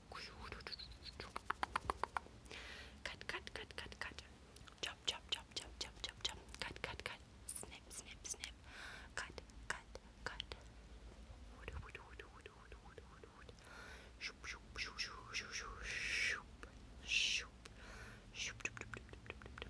Cut, cut, cut, cut, cut. Chop, chop, chop, chop, chop, chop, chop. Cut, cut, cut. Snip, snip, snip. Cut, cut, cut. Shoop, shoop, shoop, shoop, shoop, shoop, shoop. Shoop, shoop, shoop, shoop, shoop, shoop, shoop.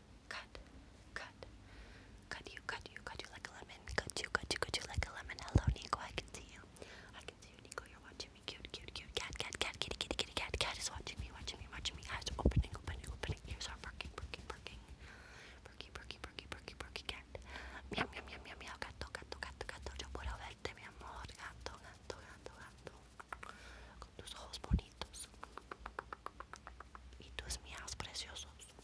cut, cut, cut you, cut you, cut you like a lemon, cut you, cut you, cut you like a lemon. Hello, Nico, I can see you. I can see you, Nico. You're watching me. Cute, cute, cute. Cat, cat, cat, kitty, kitty, kitty, cat. Cat is watching me, watching me, watching me. Eyes opening, opening, opening. Ears are perking, perking, perking. Perky, perky, perky, perky, perky cat. Meow, meow, meow, meow, meow. Gato, gato, gato, gato. Yo puedo verte, mi amor. Gato, gato, gato, gato. Con tus ojos bonitos. Y tus miaos preciosos.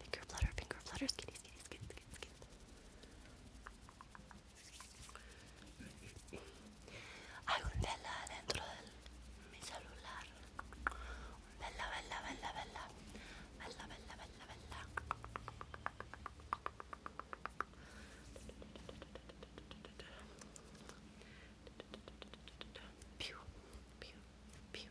Pinker flutter, Pinker flutter, skitty, skitty, Hay un Bella dentro de mi celular. Bella, Bella, Bella, Bella Bella, Bella, Bella, Bella Pew, pew, pew.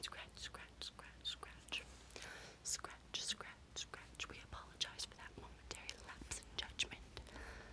Scratch, scratch, scratch, scratch. Scratch, scratch, scratch. We apologize for that momentary lapse in judgment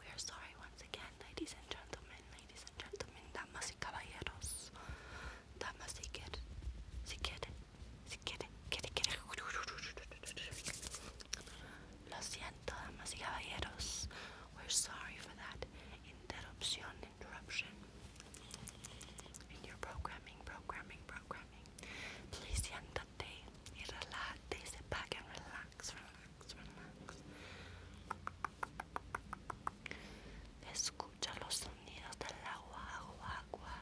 we are sorry once again, ladies and gentlemen, ladies and gentlemen, damas y caballeros, damas y que, si quiere, si quiere, quiere, Lo siento, damas y caballeros, we're sorry for that interruption, interruption in your programming, programming, programming programming. Please siéntate y relájate y sit back and relax, relax, relax. Escucha los sonidos del agua, agua, agua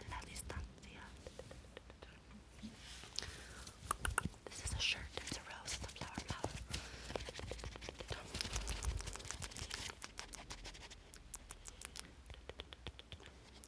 en la distancia. This is a shirt, it's a rose,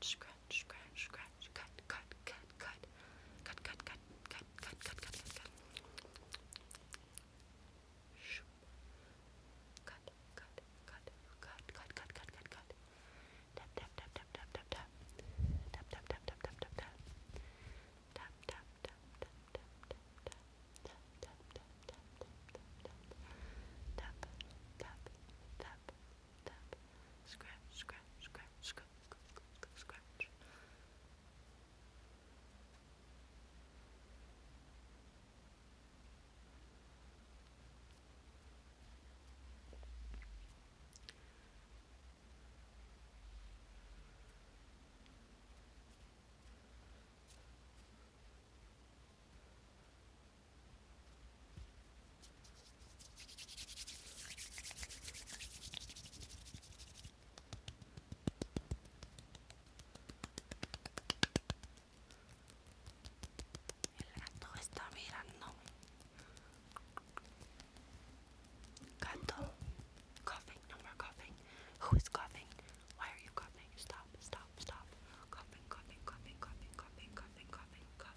scratch, scratch, scratch, scratch, cut, cut, cut, cut, cut, cut, cut, cut, cut, cut, cut, cut, cut. Cut, cut, cut, cut, cut, cut, cut, cut, cut. Tap, tap, tap, tap, tap, tap, tap. Tap, tap, tap, tap, tap, tap, tap. Tap, tap, tap, tap, tap, tap, tap. Tap, tap, tap, tap, tap, tap, tap. Tap, tap, tap, tap, tap, scratch, scratch, scratch, scratch, scratch, scratch. scratch, scratch, scratch, scratch, scratch who is coughing? Why are you coughing? Stop, stop, stop. Coughing, coughing, coughing, coughing, coughing, coughing, coughing,